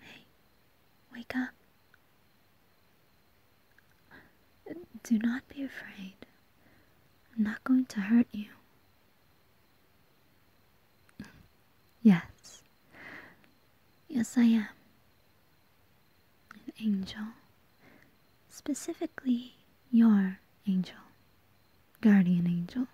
Hey, wake up. Do not be afraid. I'm not going to hurt you. Yes. Yes, I am. An angel. Specifically, your angel. Guardian angel.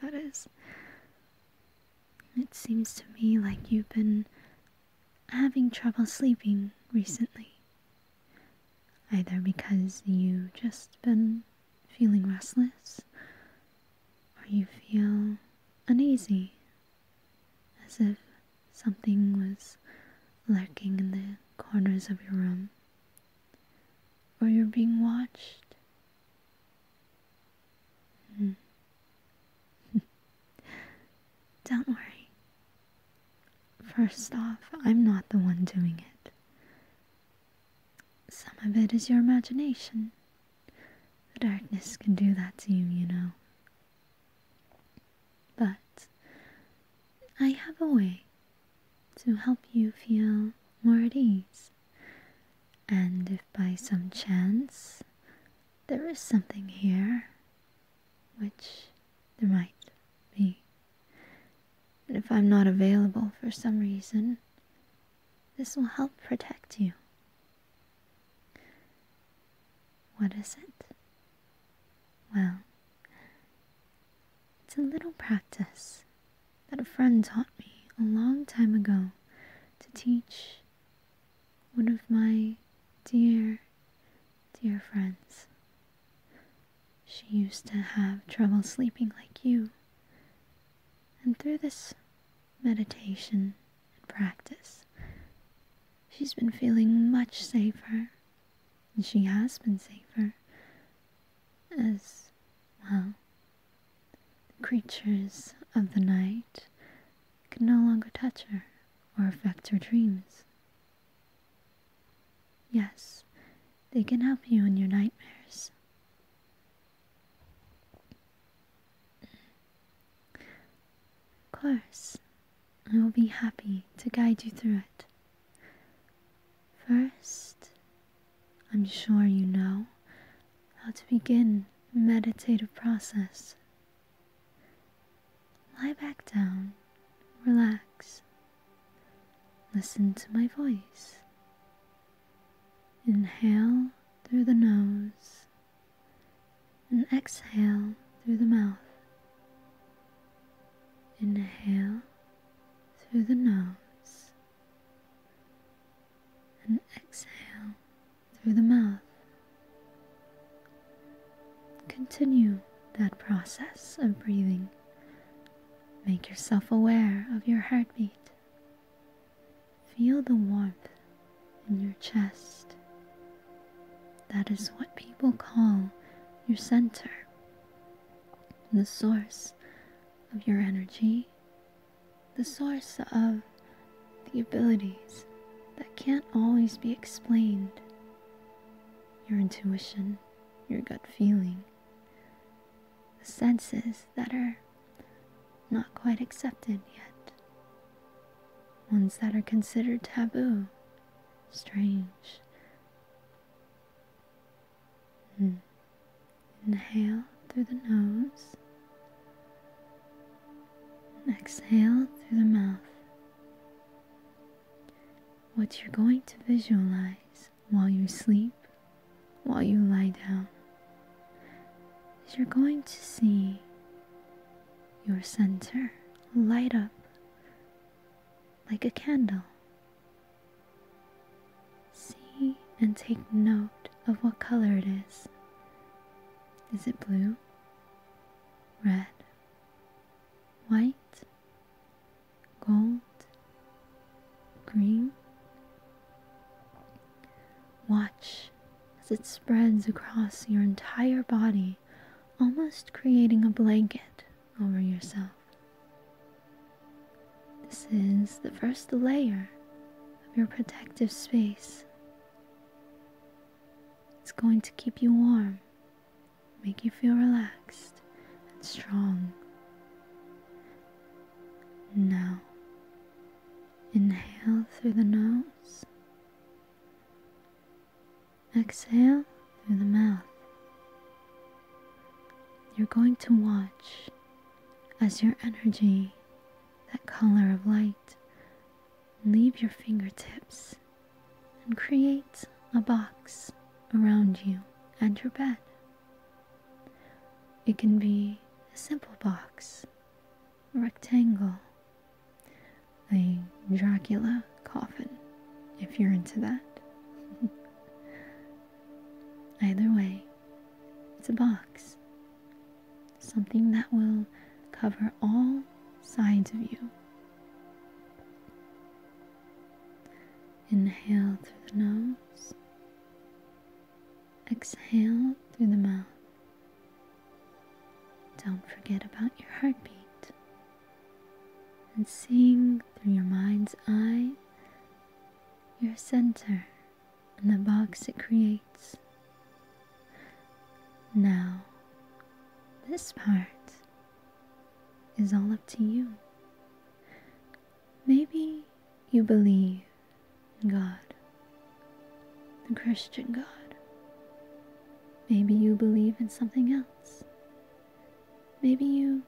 That is. It seems to me like you've been having trouble sleeping recently. Either because you've just been feeling restless, or you feel uneasy, as if something was lurking in the corners of your room or you're being watched. Hmm. Don't worry. First off, I'm not the one doing it. Some of it is your imagination. The darkness can do that to you, you know. But I have a way to help you feel more at ease. And if by some chance there is something here, which there might be, and if I'm not available for some reason, this will help protect you. What is it? Well, it's a little practice that a friend taught me a long time ago to teach one of my dear, dear friends. She used to have trouble sleeping like you. And through this meditation and practice, she's been feeling much safer and she has been safer. As, well, the creatures of the night can no longer touch her or affect her dreams. Yes, they can help you in your nightmares. Of course, I will be happy to guide you through it. First, I'm sure you know how to begin meditative process. Lie back down, relax. Listen to my voice. Inhale through the nose and exhale through the mouth. Inhale through the nose and exhale through the mouth. Continue that process of breathing. Make yourself aware of your heartbeat. Feel the warmth in your chest. That is what people call your center the source of your energy, the source of the abilities that can't always be explained, your intuition, your gut feeling, the senses that are not quite accepted yet, ones that are considered taboo, strange, Hmm. Inhale through the nose. exhale through the mouth. What you're going to visualize while you sleep, while you lie down, is you're going to see your center light up like a candle. See and take note of what color it is. Is it blue, red, white, gold, green? Watch as it spreads across your entire body almost creating a blanket over yourself. This is the first layer of your protective space. It's going to keep you warm, make you feel relaxed and strong. Now, inhale through the nose Exhale through the mouth. You're going to watch as your energy, that color of light, leave your fingertips and create a box around you and your bed. It can be a simple box a rectangle, a Dracula coffin, if you're into that. Either way, it's a box, something that will cover all sides of you. Inhale through the nose, exhale through the mouth. Don't forget about your heartbeat and seeing through your mind's eye your center and the box it creates. Now, this part is all up to you. Maybe you believe in God the Christian God. Maybe you believe in something else. Maybe you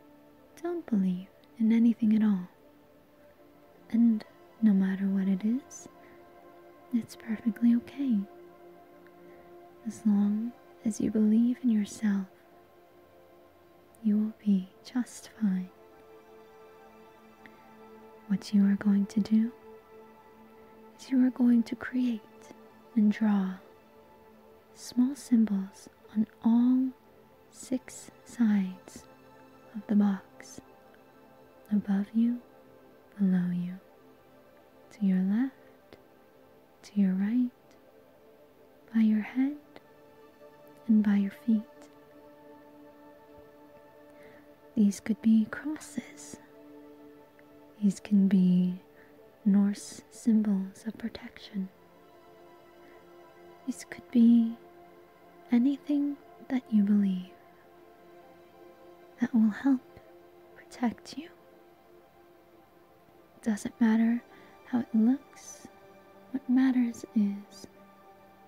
don't believe in anything at all. And no matter what it is, it's perfectly okay. As long as you believe in yourself, you will be just fine. What you are going to do is you are going to create and draw small symbols on all six sides of the box above you, below you, to your left, to your right, by your head, and by your feet. These could be crosses. These can be Norse symbols of protection. These could be anything that you believe that will help protect you. It doesn't matter how it looks, what matters is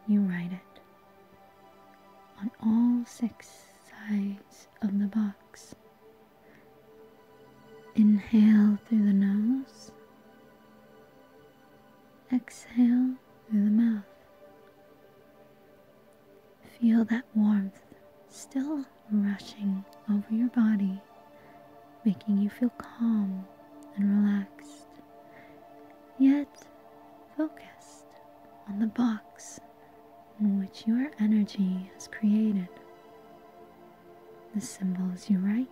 you write it on all six sides of the box. Inhale through the nose, exhale through the mouth. Feel that warmth still rushing over your body, making you feel calm and relaxed yet focused on the box in which your energy is created. The symbols you write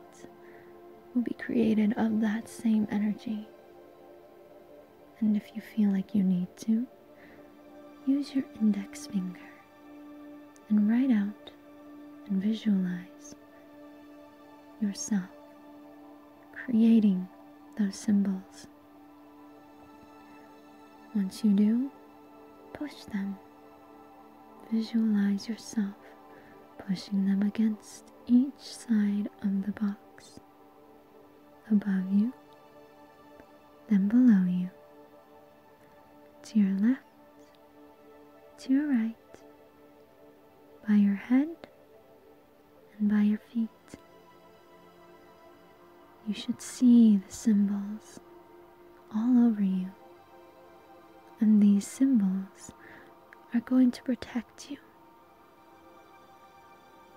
will be created of that same energy. And if you feel like you need to, use your index finger and write out and visualize yourself creating those symbols. Once you do, push them. Visualize yourself pushing them against each side of the box. Above you, then below you. To your left, to your right, by your head, and by your feet. You should see the symbols all over you, and these symbols are going to protect you.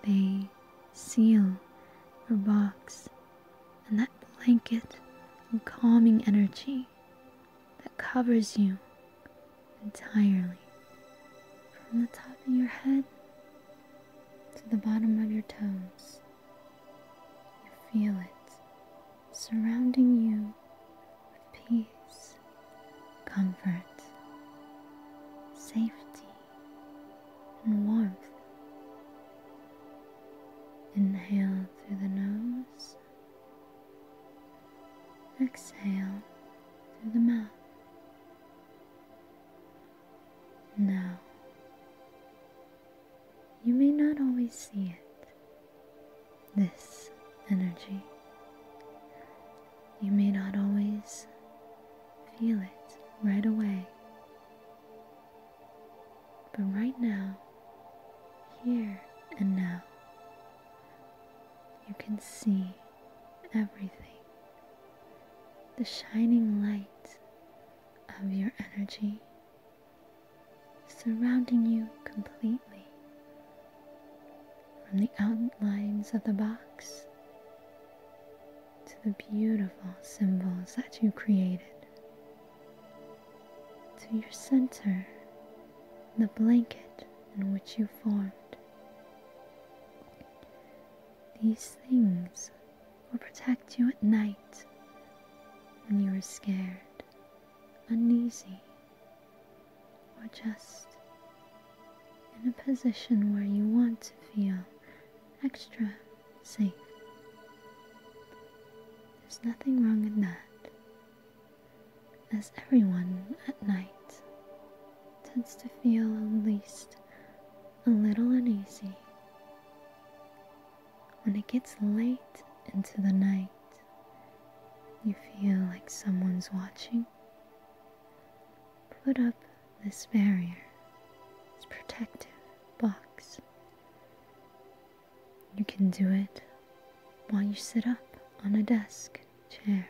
They seal your box and that blanket of calming energy that covers you entirely from the top of your head to the bottom of your toes. You feel it surrounding you with peace, comfort, safety, and warmth. Inhale through the nose. Exhale through the mouth. Now, you may not always see it, this energy. You may not always feel it right away. But right now, here and now, you can see everything. The shining light of your energy surrounding you completely from the outlines of the box to the beautiful symbols that you created to your center, the blanket in which you formed. These things will protect you at night when you are scared, uneasy, or just in a position where you want to feel extra safe. There's nothing wrong in that as everyone at night tends to feel at least a little uneasy. When it gets late into the night, you feel like someone's watching. Put up this barrier, this protective box. You can do it while you sit up on a desk chair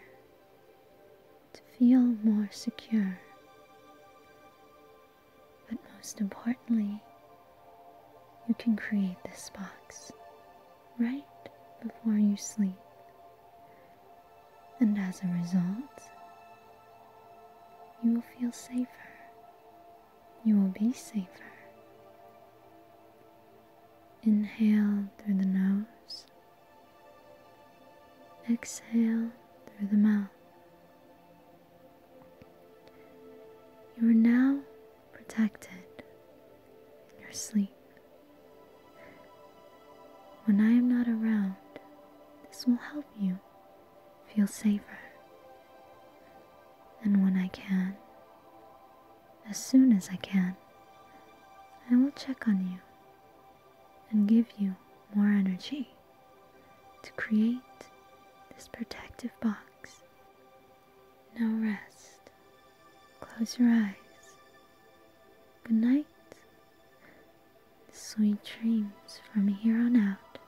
to feel more secure. But most importantly, you can create this box right before you sleep. And as a result, you will feel safer you will be safer. Inhale through the nose, exhale through the mouth. You are now protected in your sleep. When I am not around, this will help you feel safer and when I can, as soon as I can, I will check on you and give you more energy to create this protective box. Now rest. Close your eyes. Good night. Sweet dreams from here on out.